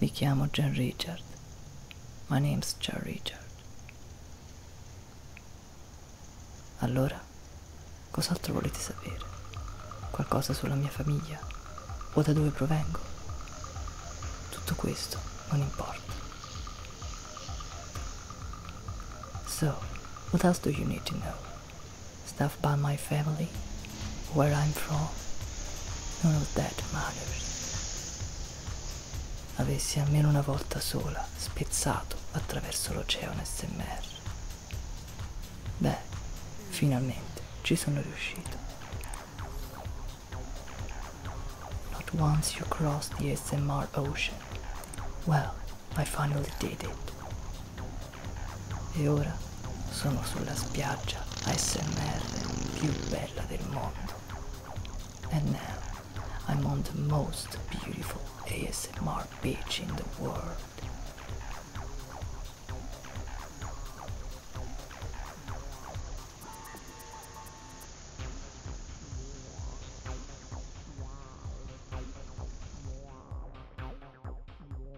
Mi chiamo John Richard. My name's John Richard. Allora, cos'altro volete sapere? Qualcosa sulla mia famiglia? O da dove provengo? Tutto questo non importa. So, what else do you need to know? stuff by my family, where I'm from. None of that matters. Avessi almeno una volta sola spezzato attraverso l'oceano SMR. Beh, finalmente ci sono riuscito. Not once you cross the SMR ocean. Well, I finally did it. E ora sono sulla spiaggia ASMR più bella del mondo. And now I'm on the most beautiful ASMR beach in the world.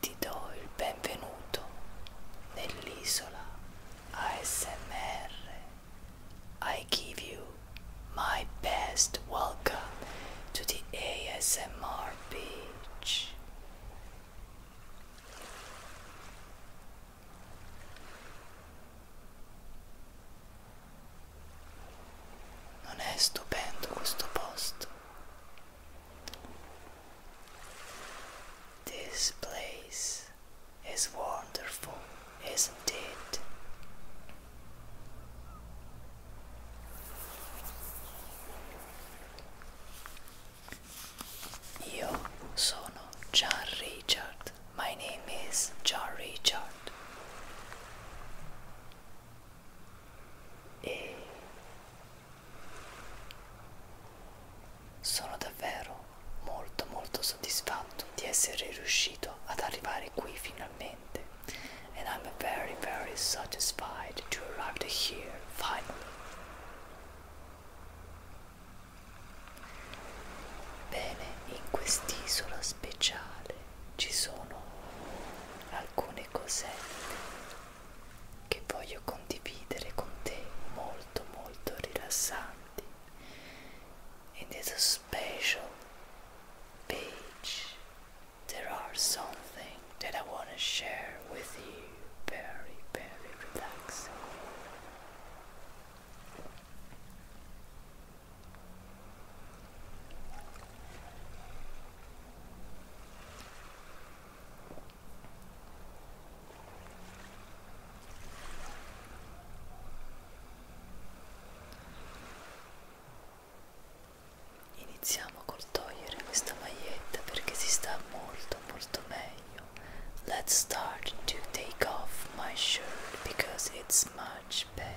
Ti do il benvenuto nell'isola ASMR. I give you my best welcome to the ASMR beach. Non è stupendo questo posto. This place is wonderful, isn't it? Io sono John Richard. My name is John Richard. Eh. Sono davvero molto molto soddisfatto di essere riuscito ad arrivare qui finalmente and I'm very very satisfied to arrive here finally. Bene, in quest'isola speciale ci sono alcune cosette che voglio condividere con te molto something that I want to share with you very very relaxing Iniziamo col togliere questa maglietta perché si sta molto molto meglio. Let's start to take off my shirt because it's much better.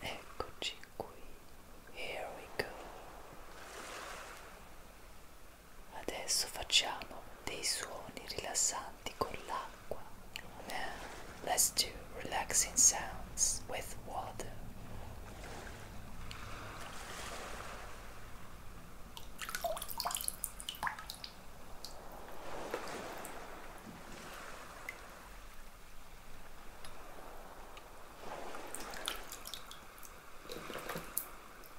Eccoci qui, here we go. Adesso facciamo dei suoni rilassanti con l'acqua. Now, eh, let's do relaxing sounds with water.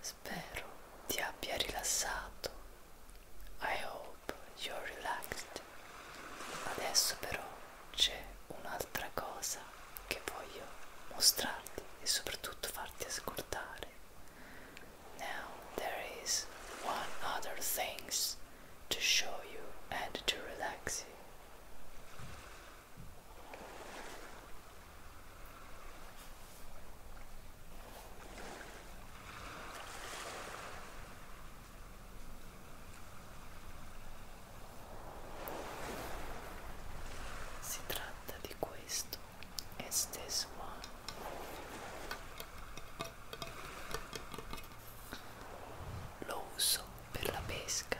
Spero ti abbia rilassato. I hope you're relaxed. Adesso però c'è un'altra cosa che voglio mostrarti e soprattutto farti ascoltare. Now there is one other things to show you and to relax you. Si tratta di questo e stesso lo uso per la pesca.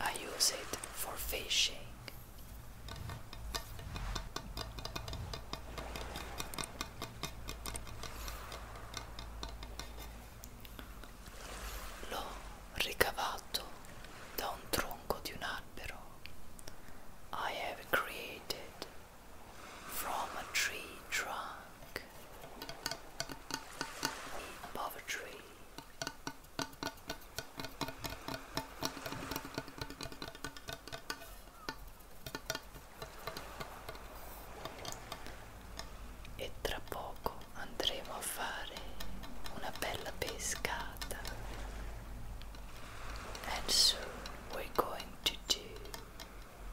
I use it for fishing. L'ho ricavato da un tronco di un albero. I have created from a tree trunk. In poverty, e tra poco andremo a fare una bella pescata and soon we're going to do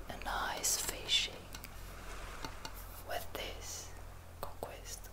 a nice fishing with this con questo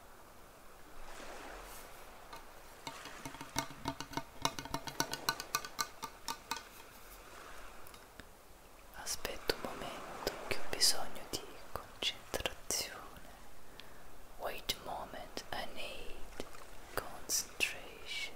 Aspetta un momento che ho bisogno di concentrazione. Wait a moment, I need concentration.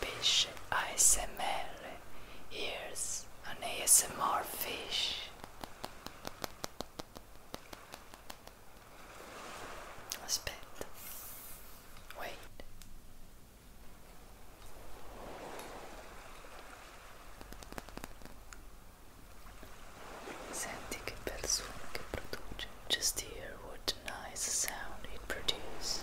Fish ASMR. Here's an ASMR fish. Aspect. Wait. Senti che bel suono che produce. Just hear what a nice sound it produces.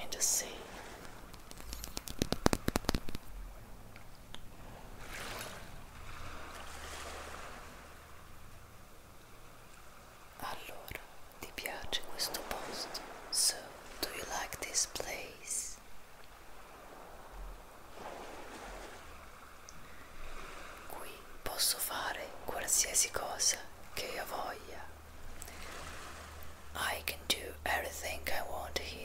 and just see. Allora, ti piace questo posto? So, do you like this place? Qui posso fare qualsiasi cosa che io voglia. I can do everything I want here.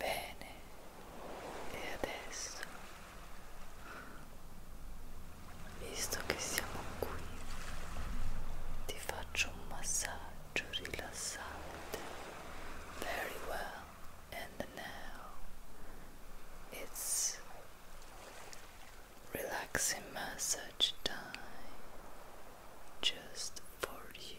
Bene, e adesso, visto che siamo qui, ti faccio un massaggio rilassante. Very well, and now it's relaxing massage time just for you.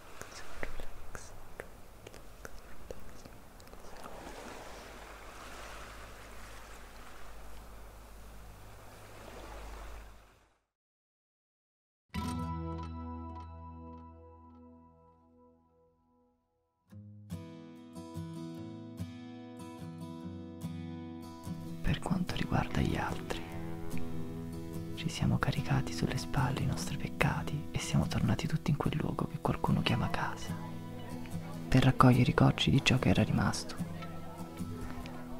relax, relax, relax. Per quanto riguarda gli altri altri. Ci siamo caricati sulle spalle i nostri peccati e siamo tornati tutti in quel luogo che qualcuno chiama casa, per raccogliere i cocci di ciò che era rimasto.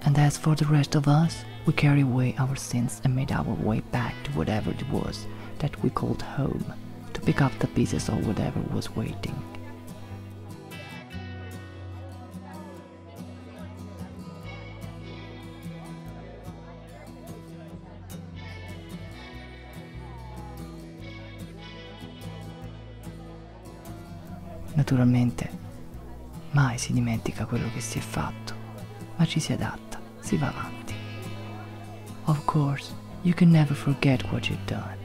And as for the rest of us, we carried away our sins and made our way back to whatever it was that we called home, to pick up the pieces of whatever was waiting. Naturalmente mai si dimentica quello che si è fatto, ma ci si adatta, si va avanti. Of course, you can never forget what you've done,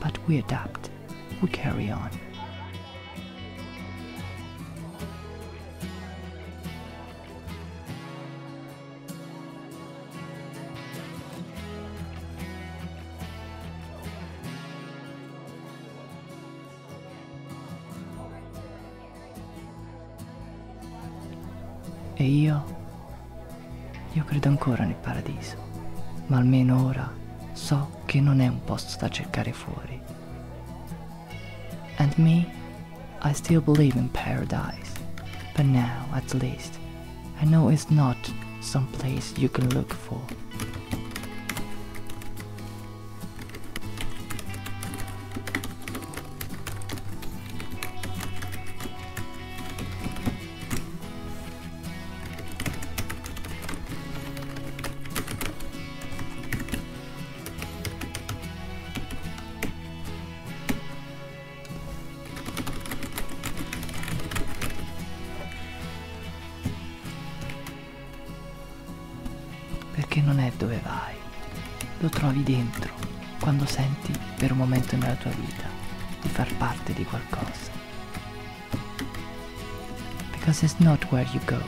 but we adapt, we carry on. E io? Io credo ancora nel paradiso, ma almeno ora so che non è un posto da cercare fuori, And me, I still believe in paradise, but now at least I know it's not some place you can look for. Perché non è dove vai, lo trovi dentro, quando senti per un momento nella tua vita di far parte di qualcosa. Because it's not where you go,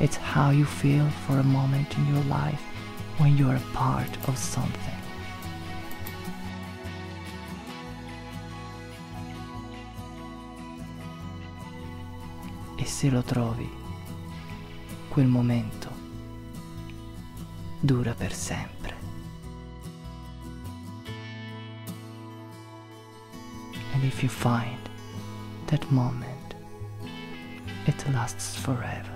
It's how you feel for a moment in your life when you're a part of something. E se lo trovi, quel momento dura per sempre. And if you find that moment, it lasts forever.